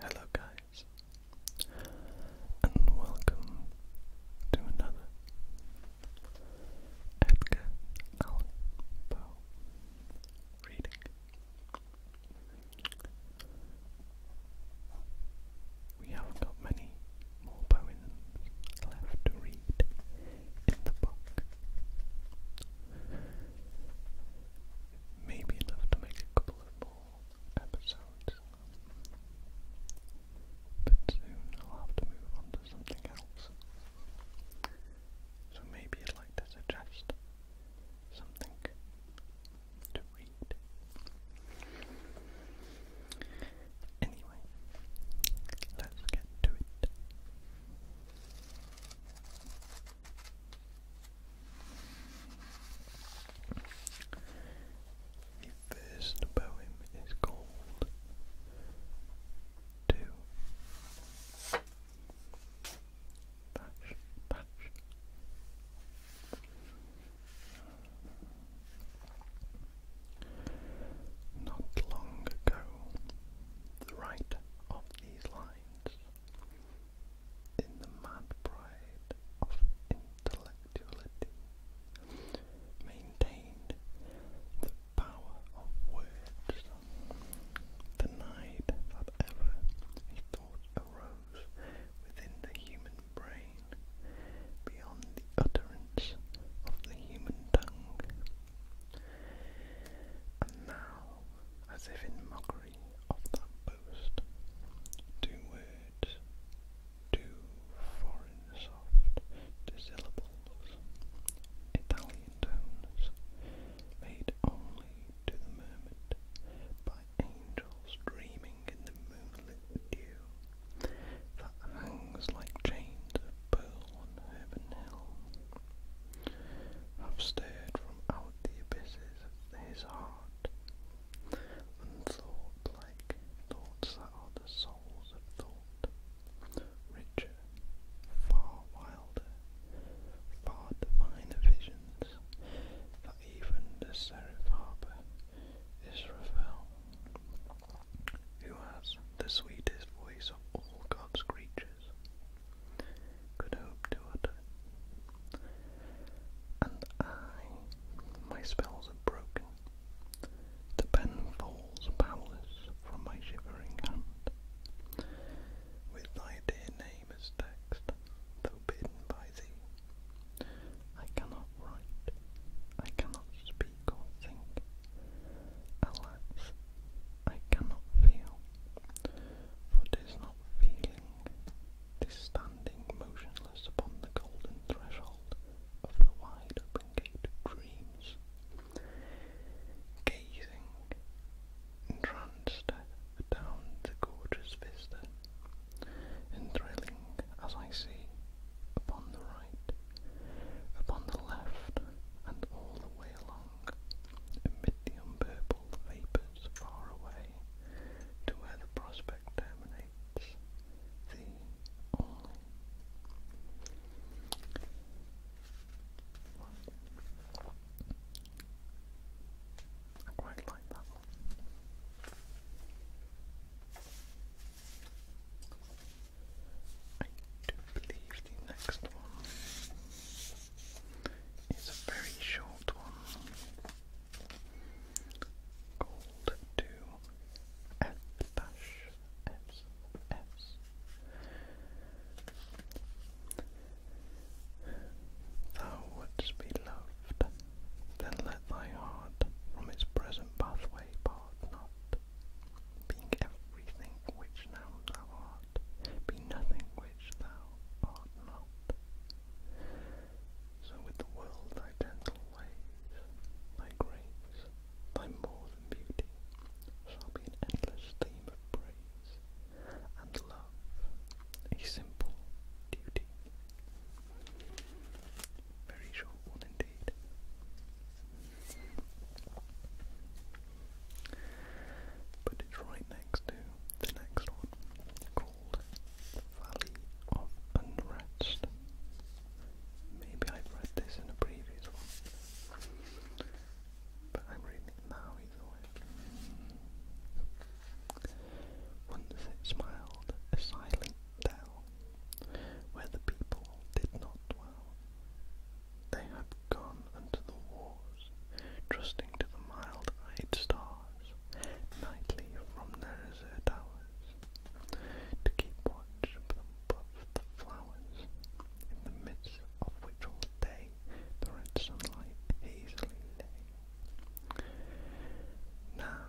Hello, guys, and welcome to another Edgar Allan Poe reading. We have got many more poems left to read in the book, Maybe enough to make a couple of more episodes. But soon I'll have to move on to something else. So maybe you'd like to suggest something to read. Anyway, let's get to it. The first poem is called Two Patch Patch. Not long ago, the right of these lines, in the mad pride of intellectuality, maintained the power of words, denied that ever a thought arose within the human brain beyond the utterance of the human tongue and now, as if in mockery of that boast, two words, two foreign soft syllables, Italian tones, made only to the mermaid by angels dreaming in the moonlit dew that hangs like chains of pearl on Herman Hill have stared from out the abysses of his heart and thought like thoughts that are the souls of thought, richer, far wilder, far diviner visions that even the seraph harbour Israfel who has the sweetest voice of all God's creatures, could hope to utter. And I, my spells are broken, the pen falls powerless from my shivering hand, with thy dear name as text, though bidden by thee. I cannot write, I cannot speak causing alas I cannot feel for tis not feeling tis standing motionless upon the golden threshold of the wide open gate of dreams gazing entranced down the gorgeous vista and as I see upon the right upon the left and all the way along, amid the unpurple vapours far away, to where the prospect terminates, the only. I quite like that one. I do believe the next one is a very short one called to F S. Thou wouldst be loved, then let thy heart from its present pathway pass heart, not being everything which thou art, be nothing which thou art not. So with the world thy gentle ways, thy grace, thy more beauty, shall be an endless theme of praise, and love a simple duty. Very short indeed. But it's right next to the next one called Valley of Unrest. Maybe I've read this in a previous one. But I'm reading it now either way. Once it smiled, a silent down, where the people did not dwell. They had gone unto the wars, trusting to the mild-eyed stars, nightly from their azure towers, to keep watch above the flowers, in the midst of which all day the red sunlight hazily lay. Now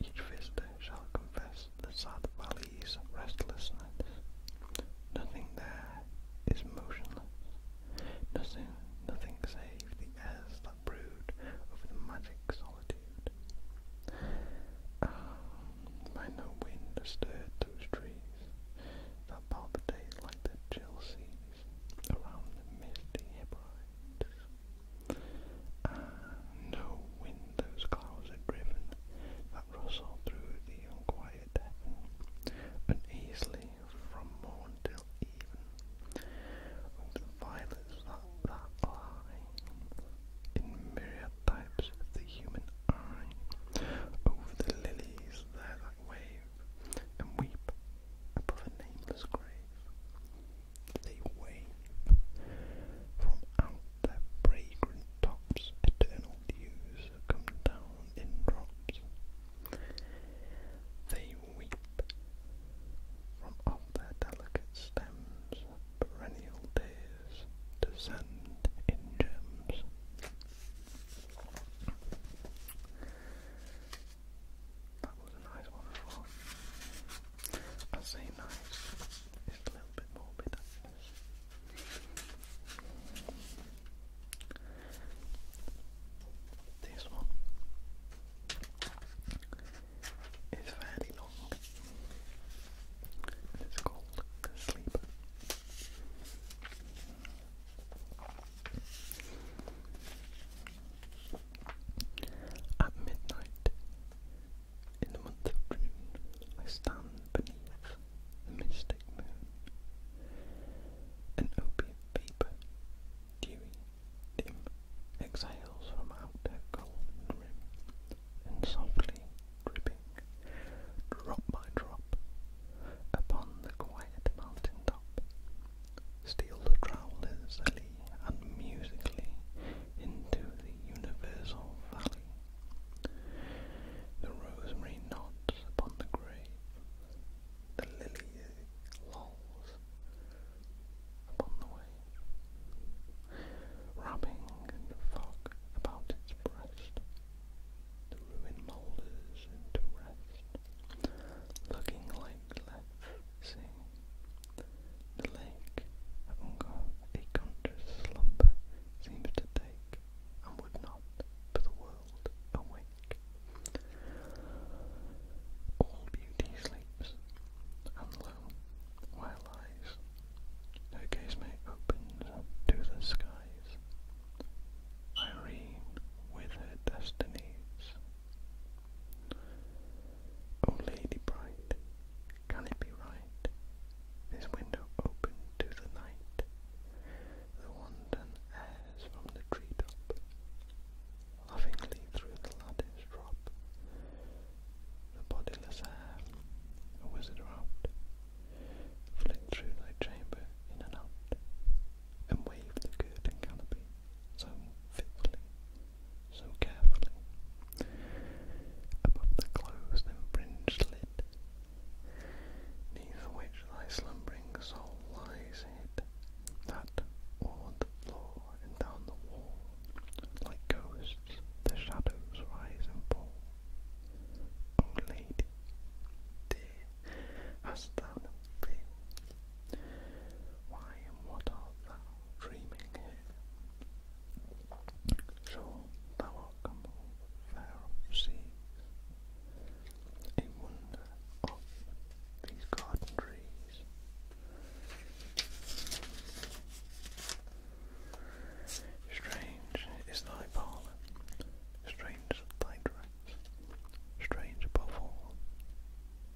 each visitor shall confess the sad valley's restlessness. Nothing there is motionless. Nothing, nothing save the airs that brood over the magic solitude. Ah, by no wind stirred those trees that palpitate like the chill seas around the misty Hebrides. And uh, no wind those clouds had driven, that rustled through the unquiet heaven, uneasily from morn till even, with the violets that, that lie in myriad types the human eye, over the lilies there that wave and weep above a nameless grave. They wave from out their fragrant tops, eternal dews come down in drops. They weep from off their delicate stems, perennial tears descend in gems. That was a nice one as well. I say nice, it's a little bit morbid This one is fairly long it's called The at midnight, in the month of June, I stand beneath the mystic moon, an opiate vapour, dewy, dim, exhales from out her golden rim, and softly dripping, drop by drop, upon the quiet mountain top, steal the lily and musically into the universal valley. The rosemary nods upon the grave, the lily lolls upon the way, wrapping the fog about its breast. The ruin moulders into rest, looking like left See, the lake of Ungar, a conscious slumber, seems to take, and would not, for the world, awake. All beauty sleeps, and lo, where lies, her gaze may opens to the skies. Irene, with her destinies, O oh, lady bright, can it be right? This window open to the night, the wanton airs from the treetop, lovingly through the lattice drop, the bodiless air, a wizard out, flit through thy chamber in and out, and wave the curtain canopy so fitfully, so carefully, above the closed and fringed lid, neath which thy slumbering soul lies hid, that o'er the floor and down the wall, like ghosts, the shadows rise and fall. O lady, dear hast thou been? Why and what art thou dreaming here? Sure, thou art fair of a wonder of these garden trees. Strange is thy parlour, strange thy dress, strange above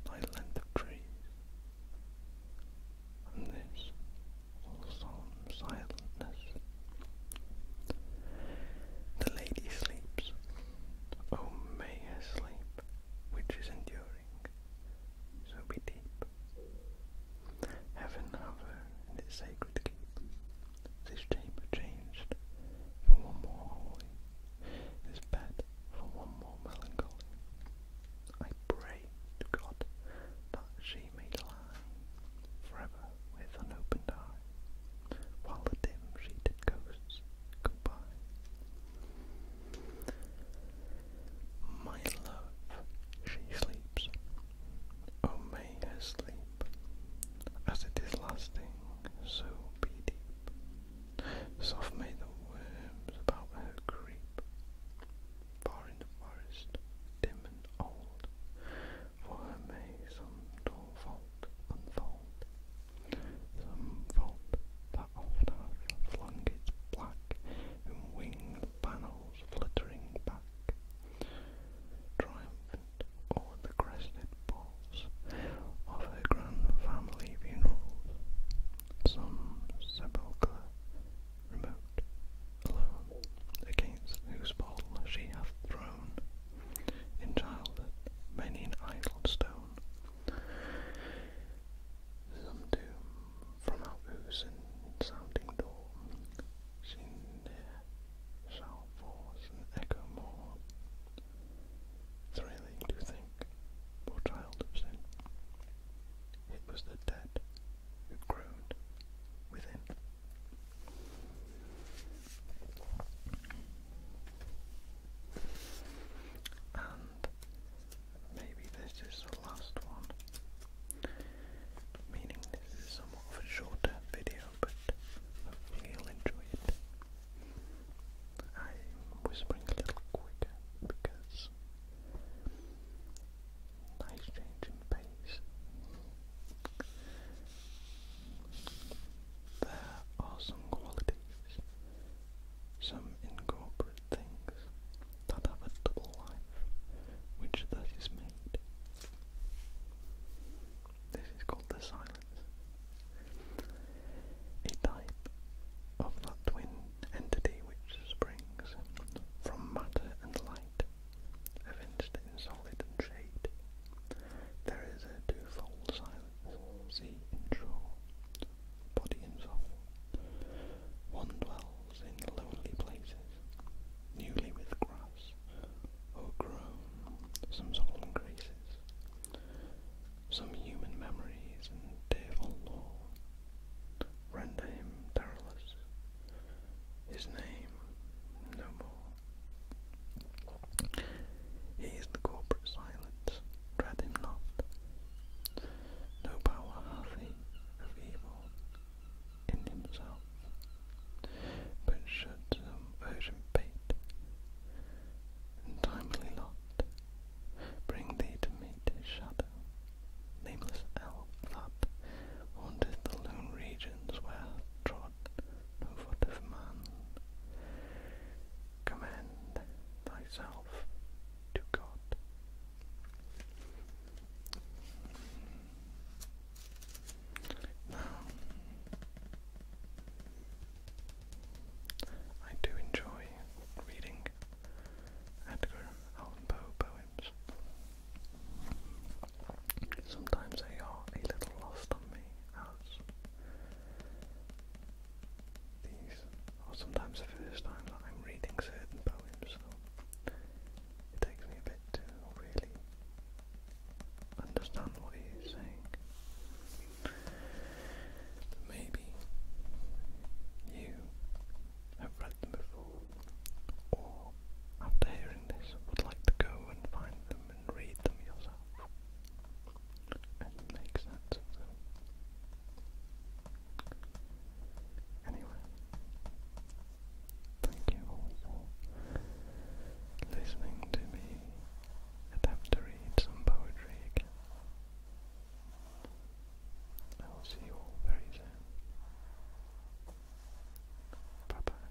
thy length of trees, and this all solemn silentness. The lady sleeps, oh may her sleep, which is enduring, so be deep. Heaven have in its sacred keep. This chamber changed for one more holy, this bed for one more melancholy. I pray God that she may lie forever with unopened eye, while the dim sheeted ghosts go by. My love, she sleeps. Oh, may her sleep as it is lasting, so be deep. Soft may the worms about her creep, far in the forest, dim and old, for her may some dull vault unfold, some that oft flung its black winged panels fluttering back. Triumph or the crested bulls of her grand family funerals, some sepulchre remote, alone, against whose ball she hath thrown, in childhood many an idle stone, some doom from whose sounding door near shall force an echo more. Thrilling to think, poor child it was the dead who groaned within. And maybe this is the last one, meaning this is somewhat of a shorter video video, but hopefully you enjoy it. I'm whispering a little quicker because nice change in pace. There are some qualities, some incorporate things that have a double life, which that is made. This is called the silence. A type of that twin entity which springs from matter and light, evinced in solid and shade. There is a twofold silence, sea and body and soul. One dwells in lonely places newly with grass, or grown, some solemn graces, some human memories and tearful lore, render him perilous, his name no more. He is the corporate silence, dread him not. No power hath he of evil, in himself, but should some urgent fate and timely bring thee to meet shadow, nameless elf that haunteth the lone regions where trod no foot of man, commend thyself to God. Now, I do enjoy reading Edgar Allan Poe poems. Sometimes they are a little lost on me, as these are sometimes the first time that I'm reading certain poems, it takes me a bit to really understand what he's saying. maybe you have read them before, or after hearing this, would like to go and find them and read them yourself and make sense of them. Anyway, Thank you all for listening to me attempt to read some poetry again. I will see you all very soon. Bye bye.